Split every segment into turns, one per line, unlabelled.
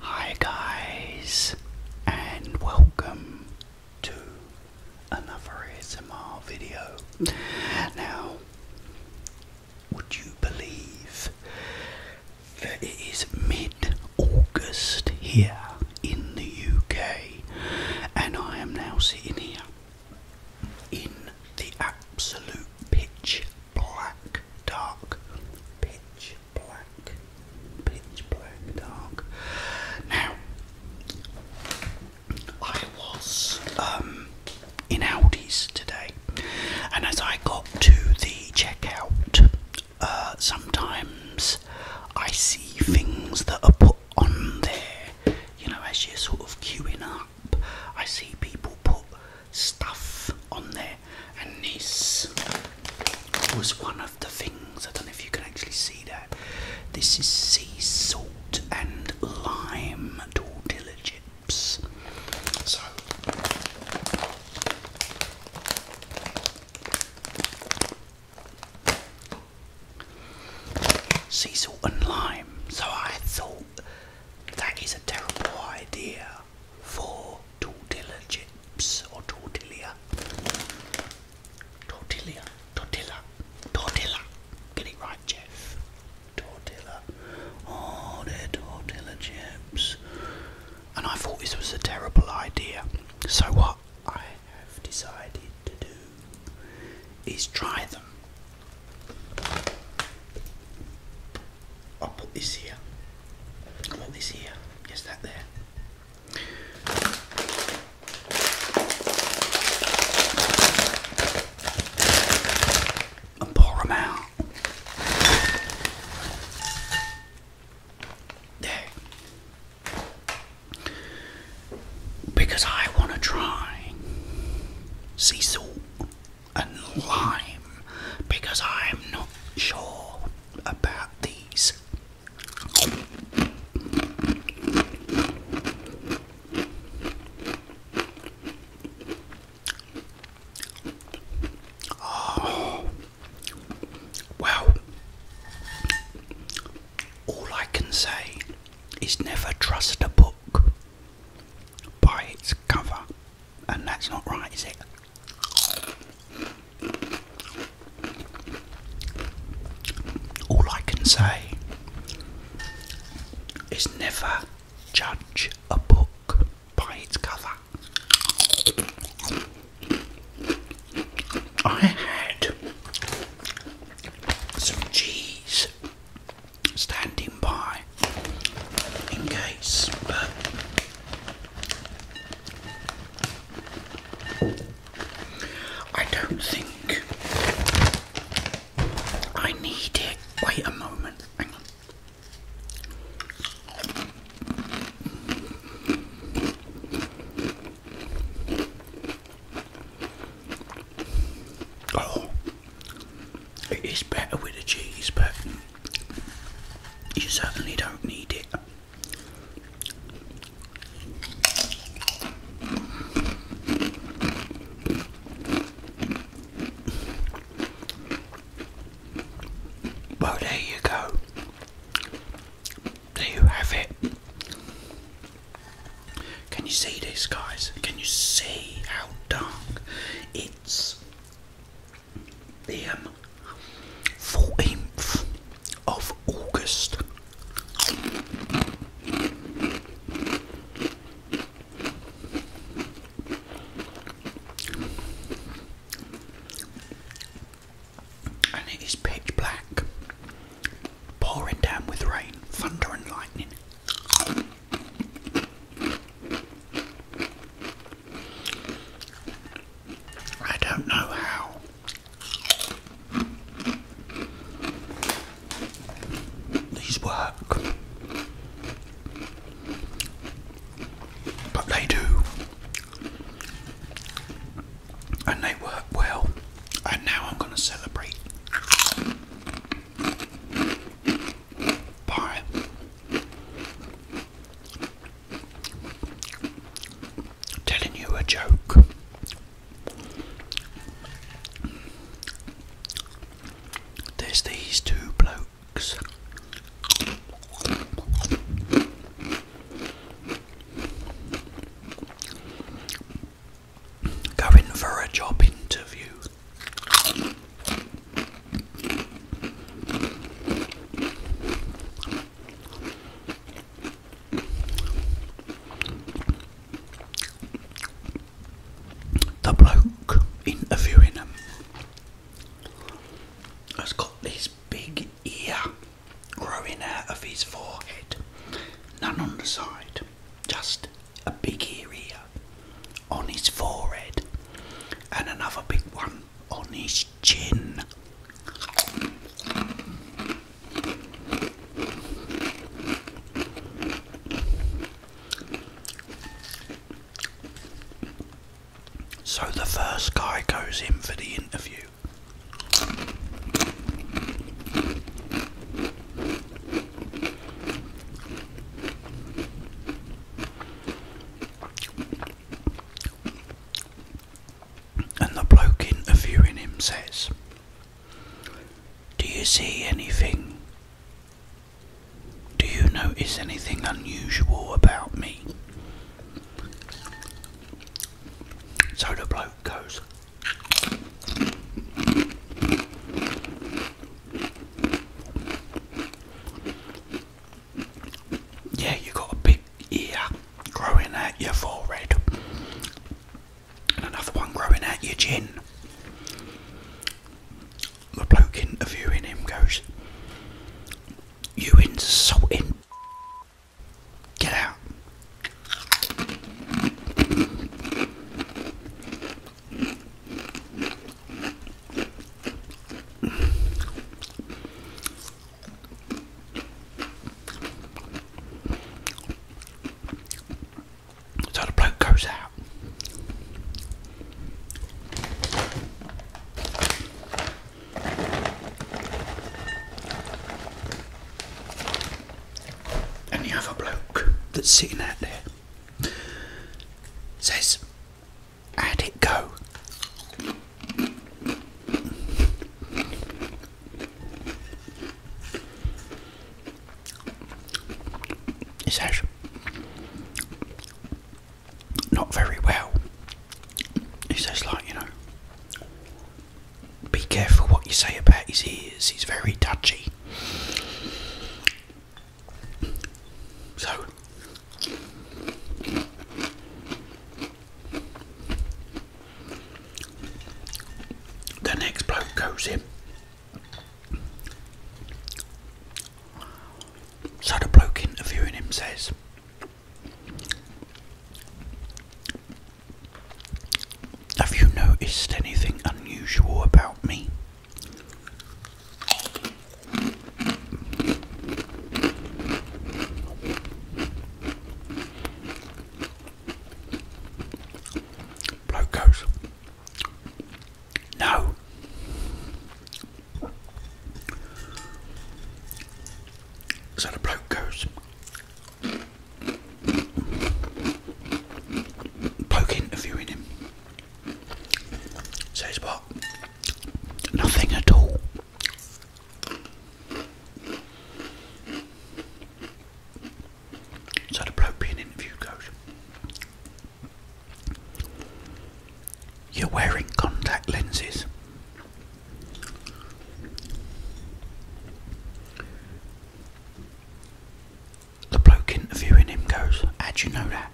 Hi, guys, and welcome to another ASMR video. Now, would you believe that it is mid August here in the UK, and I am now sitting here in the absolute pitch black, dark, pitch black, pitch black, dark. Now, I was um, in Aldi's today, and as I got to the checkout, uh, sometimes I see things that are put on there, you know, as you're sort of queuing up. I see people put stuff on there, and this was one of the things. I don't know if you can actually see that. This is sea salt and lime tortilla chips. So. Sea salt and lime. So I thought that is a terrible idea four tortilla chips or tortilla. Tortilla, tortilla, tortilla. Get it right, Jeff. Tortilla. Oh, they tortilla chips. And I thought this was a terrible idea. So, what I have decided to do is try them. I'll put this here. I'll put this here. Yes, that there. And pour them out. There. Because I want to try sea and lime because I'm not sure about these. Oh, well, all I can say is never trust a book by its cover and that's not right, is it? All I can say is never judge a book by its cover. I had some cheese standing by in case. I don't think I need it. Wait a moment. Oh, it is better with the cheese, but you certainly don't need it. Well, there you go. There you have it. Can you see this, guys? Can you see how dark it it's the um, 14th of August. And it is pitch black, pouring down with rain, thunder, and lightning. I don't know how. These work, but they do, and they work well. And now I'm going to celebrate. Bye. Telling you a joke. There's these two blokes. Going for a job interview. The bloke interviewing him has got this big ear growing out of his forehead, none on the side just a big area on his forehead and another big one on his chin. So the first guy goes in for the interview. And the bloke interviewing him says, Do you see anything? Do you notice anything unusual about me? So the bloke goes, yeah, you got a big ear growing out your forehead, and another one growing out your chin. The bloke interviewing him goes, You insulting. Get out. So the bloke goes out. And the other bloke that's sitting out there it says, and it go. He says, not very well. It says, like, you know, be careful what you say about his ears, he's very touchy. So the next bloke goes in. So the bloke interviewing him says, Have you noticed anything unusual about me? Bloke goes, No. So the bloke goes poke interviewing him. Says what? Nothing at all. So the bloke being interviewed goes, You're wearing contact lenses the bloke interviewing him goes, How'd you know that?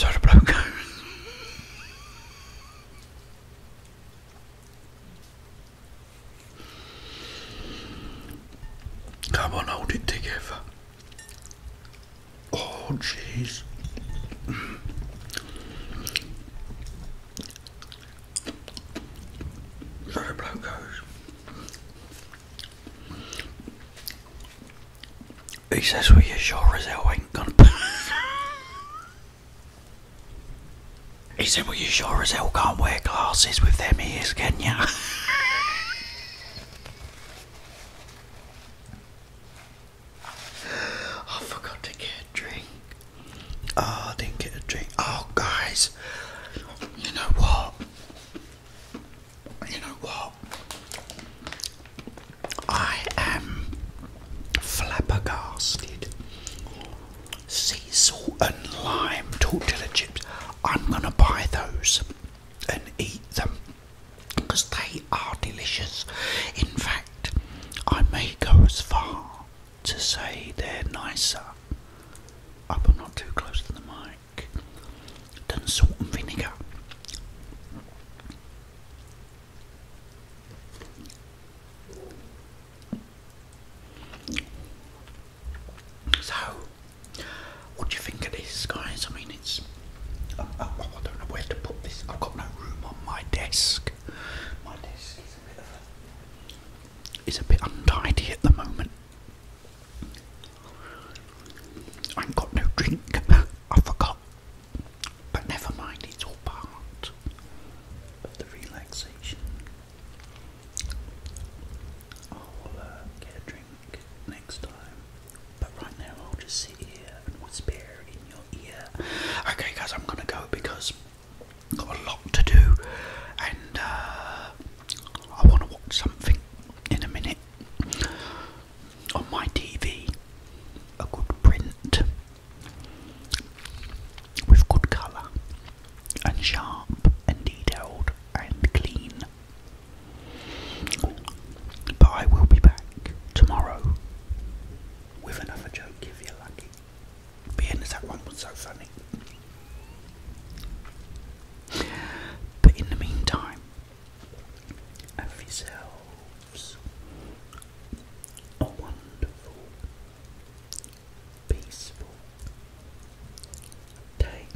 Soda bloke. Come on, hold it together. Oh, jeez. So bloke goes. He says, Well, you sure as hell ain't gonna he said, Well, you sure as hell can't wear glasses with them ears, can ya? I forgot to get a drink. Oh, I didn't get a drink. Oh, guys, you know what? You know what? I am flabbergasted. Sea salt and lime tortilla chips. I'm gonna buy those and eat them because they are delicious. In fact, I may go as far to say they're nicer. Up and not too close to the mic. Than salt and vinegar. So, what do you think of this, guys? I mean, it's. I don't know where to put this. I've got no room on my desk desk. My desk is a bit of is a bit untidy at the moment. I ain't got no drink. I forgot. But never mind, it's all part of the relaxation. I will uh, get a drink next time. But right now, I'll just sit here and whisper in Okay, guys, I'm gonna go because I've got a lot to do, and uh, I want to watch something in a minute on my TV. A good print with good colour and sharp and detailed and clean. But I will be back tomorrow with another joke if you're lucky. Being as that one was so funny. But in the meantime, have yourselves a wonderful, peaceful day.